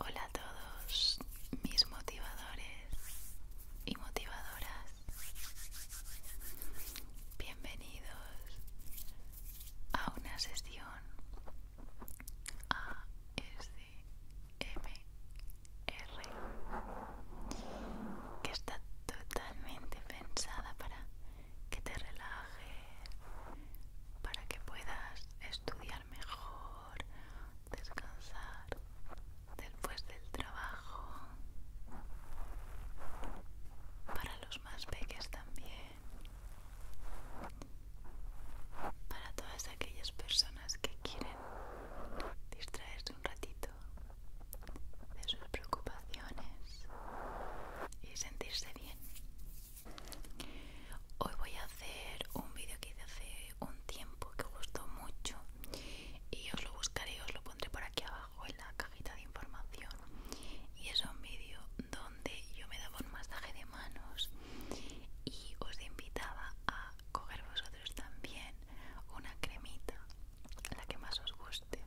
Hola a todos mis motivadores y motivadoras. Bienvenidos a una sesión ASMR que está totalmente pensada para que te relajes, para que puedas estudiar mejor, descansar después del trabajo. Para los más pequeños también. Para todas aquellas personas que quieren distraerse un ratito de sus preocupaciones y sentirse bien. Hoy voy a hacer un vídeo que hice hace un tiempo que gustó mucho y os lo buscaré y os lo pondré por aquí abajo en la cajita de información. Y es un vídeo donde yo me daba un masaje de manos y os invitaba a coger vosotros también una cremita la que más os guste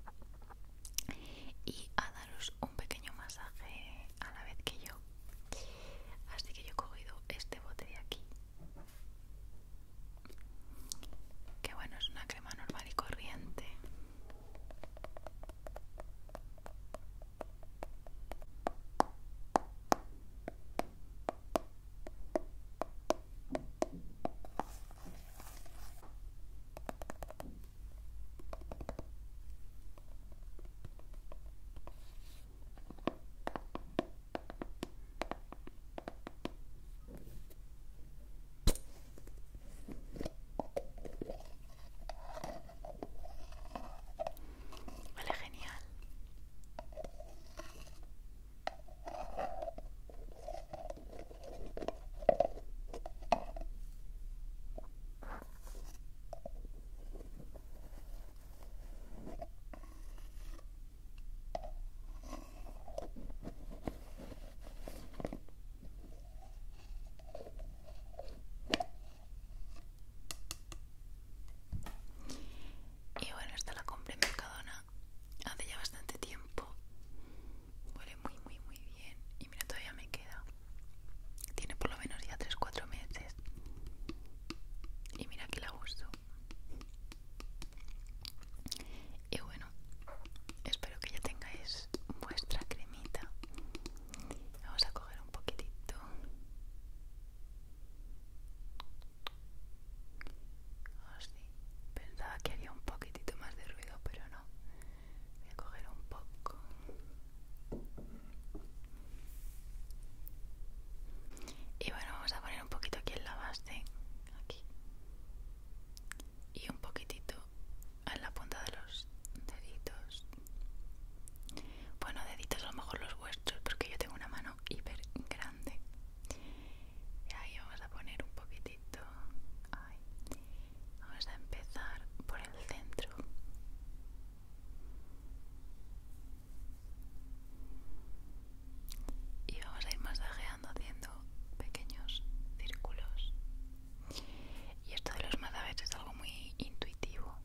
y a daros un pequeño masaje a la vez que yo así que yo he cogido este bote de aquí que bueno es una crema normal y corriente Vale, genial. Y bueno, esta la compré en Mercadona hace ya bastante tiempo. Huele muy, muy, muy bien. Y mira, todavía me queda. Tiene por lo menos ya 3-4 meses. Y mira que la gusto Y bueno, espero que ya tengáis vuestra cremita. Vamos a coger un poquitito. Pensaba que había un poquitito más de ruido, pero no. Voy a coger un poco. Y bueno, vamos a poner un poquito aquí en la base. Aquí. Y un poquitito en la punta de los deditos. Bueno, deditos a lo mejor los vuestros, porque yo tengo una mano hiper grande y ahí vamos a poner un poquitito vamos a empezar por el centro y vamos a ir masajeando haciendo pequeños círculos y esto de los masajes es algo muy intuitivo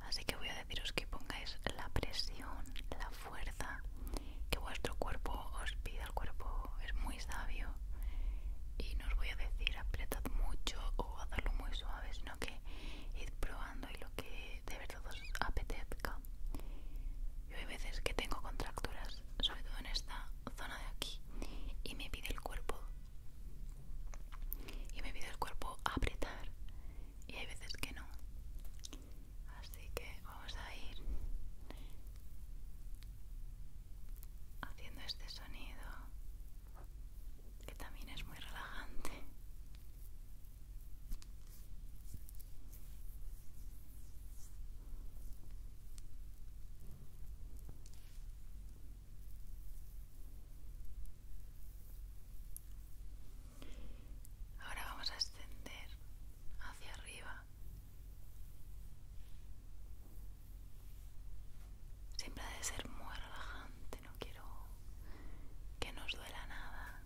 así que voy a deciros que pongáis la presión la fuerza que vuestro cuerpo os pide, El cuerpo es muy sabio y no os voy a decir apretad mucho o hacerlo muy suave, sino que id probando y lo que de verdad os apetezca. Yo hay veces que tengo contracturas, sobre todo en esta zona de aquí, y me pide el cuerpo. Y me pide el cuerpo apretar. Y hay veces que no así que vamos a ir haciendo este sonido que también es muy relajante Ahora vamos a extender hacia arriba. Siempre ha de ser muy relajante, no quiero que nos duela nada.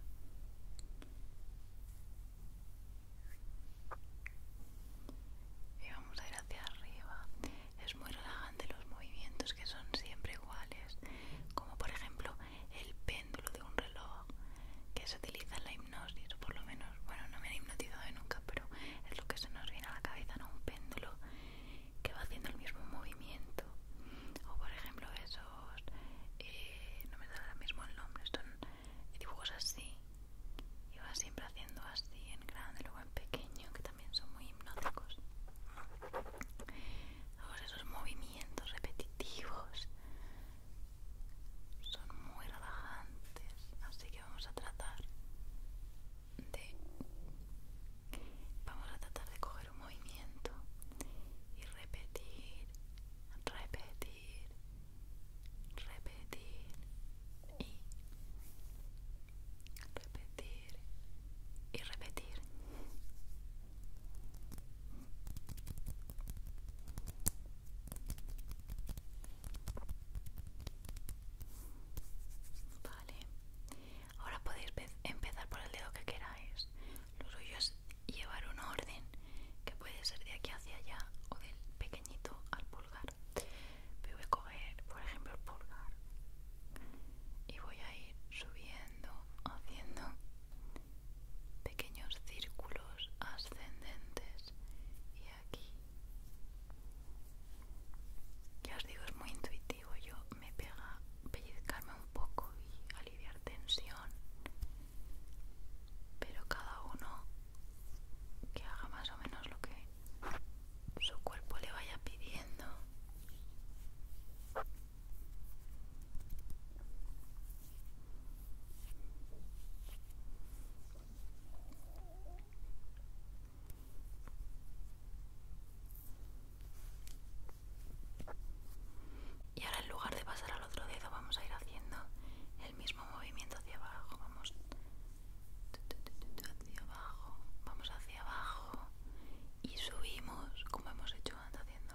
Y vamos a ir hacia arriba. Es muy relajante los movimientos que son siempre iguales. Como por ejemplo el péndulo de un reloj que se utiliza en la hipnosis, por lo menos, bueno, no me han hipnotizado nunca, pero es lo que se nos viene a la cabeza, ¿no? Un péndulo que va haciendo el mismo movimiento. O por ejemplo esos, eh, no me da lo mismo el nombre, son dibujos así y va siempre haciendo así en grande, luego en pequeño, que también son muy hipnóticos. esos movimientos repetitivos son muy relajantes, así que vamos a tratar de vamos a tratar de coger un movimiento y repetir, repetir, repetir y repetir y repetir Ahora podéis empezar por el dedo que queráis. Lo suyo es llevar un orden que puede ser de aquí hacia allá o del pequeñito al pulgar. voy a coger, por ejemplo, el pulgar y voy a ir subiendo, haciendo pequeños círculos ascendentes y aquí ya os digo es muy intuitivo yo me pega pellizcarme un poco y aliviar tensión pero cada uno que haga más o menos lo que su cuerpo le vaya pidiendo y ahora en lugar de pasar al otro dedo vamos a ir haciendo el mismo movimiento hacia abajo. Vamos hacia abajo, vamos hacia abajo y subimos como hemos hecho antes haciendo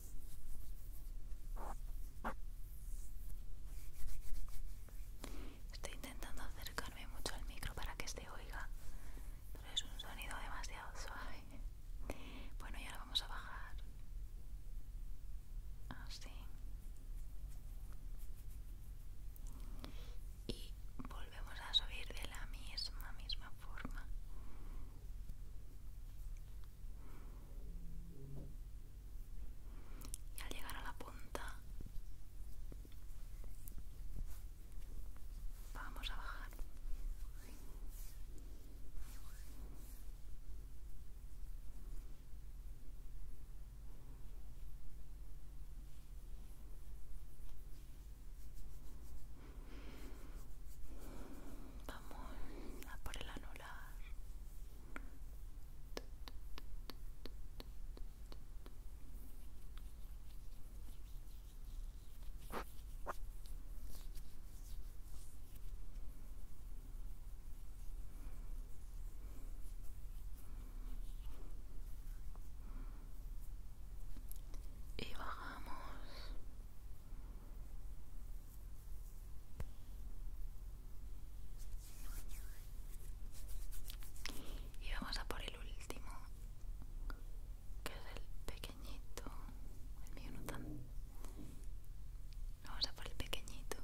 Estoy intentando acercarme mucho al micro para que se oiga, pero es un sonido demasiado suave. Bueno, y ahora vamos a bajar. Así. Y volvemos a subir de la misma, misma forma y al llegar a la punta vamos a bajar Vamos a por el anular y bajamos y vamos a por el último, que es el pequeñito. El mío no tan. Vamos a por el pequeñito.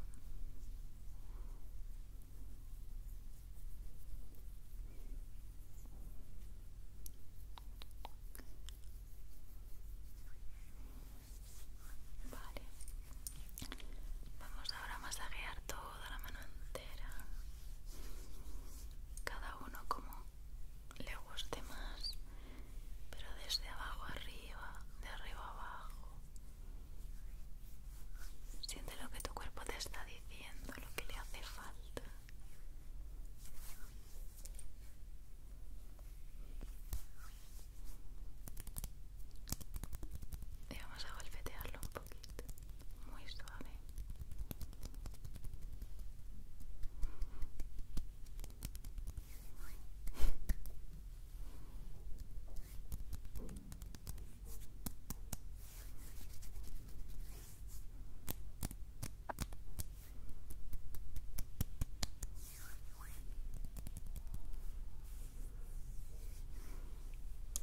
Vale. Vamos ahora a masajear toda la mano entera. Cada uno como le guste más, pero desde abajo arriba, de arriba abajo. Siente lo que tu cuerpo te está diciendo, lo que le hace falta. Y vamos a golpetearlo un poquito, muy suave.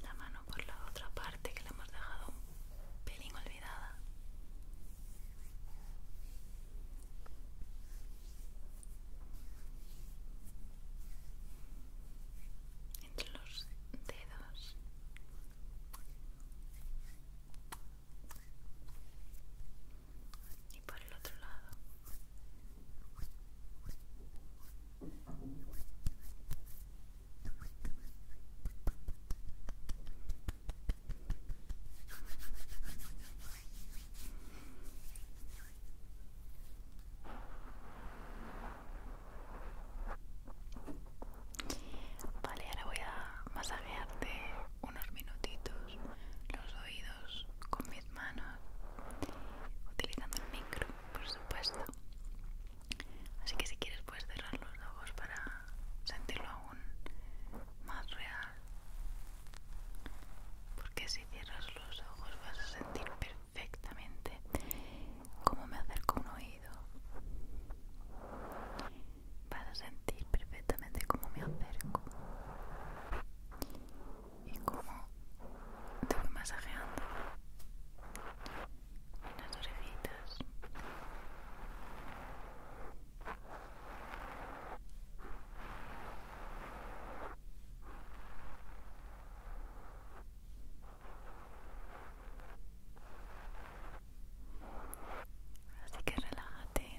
La mano por la otra parte que la hemos dejado un pelín olvidada. Entre los dedos y por el otro lado Vale, ahora voy a masajearte unos minutitos los oídos con mis manos, utilizando el micro, por supuesto. Así que si quieres puedes cerrar los ojos para sentirlo aún más real. Porque si cierras los ojos vas a sentir perfectamente cómo me acerco a un oído. Vas a sentir perfectamente cómo me acerco y como te voy masajeando las orejitas Así que relájate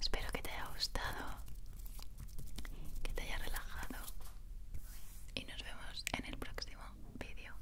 Espero que te haya gustado, que te haya relajado y nos vemos en el próximo vídeo.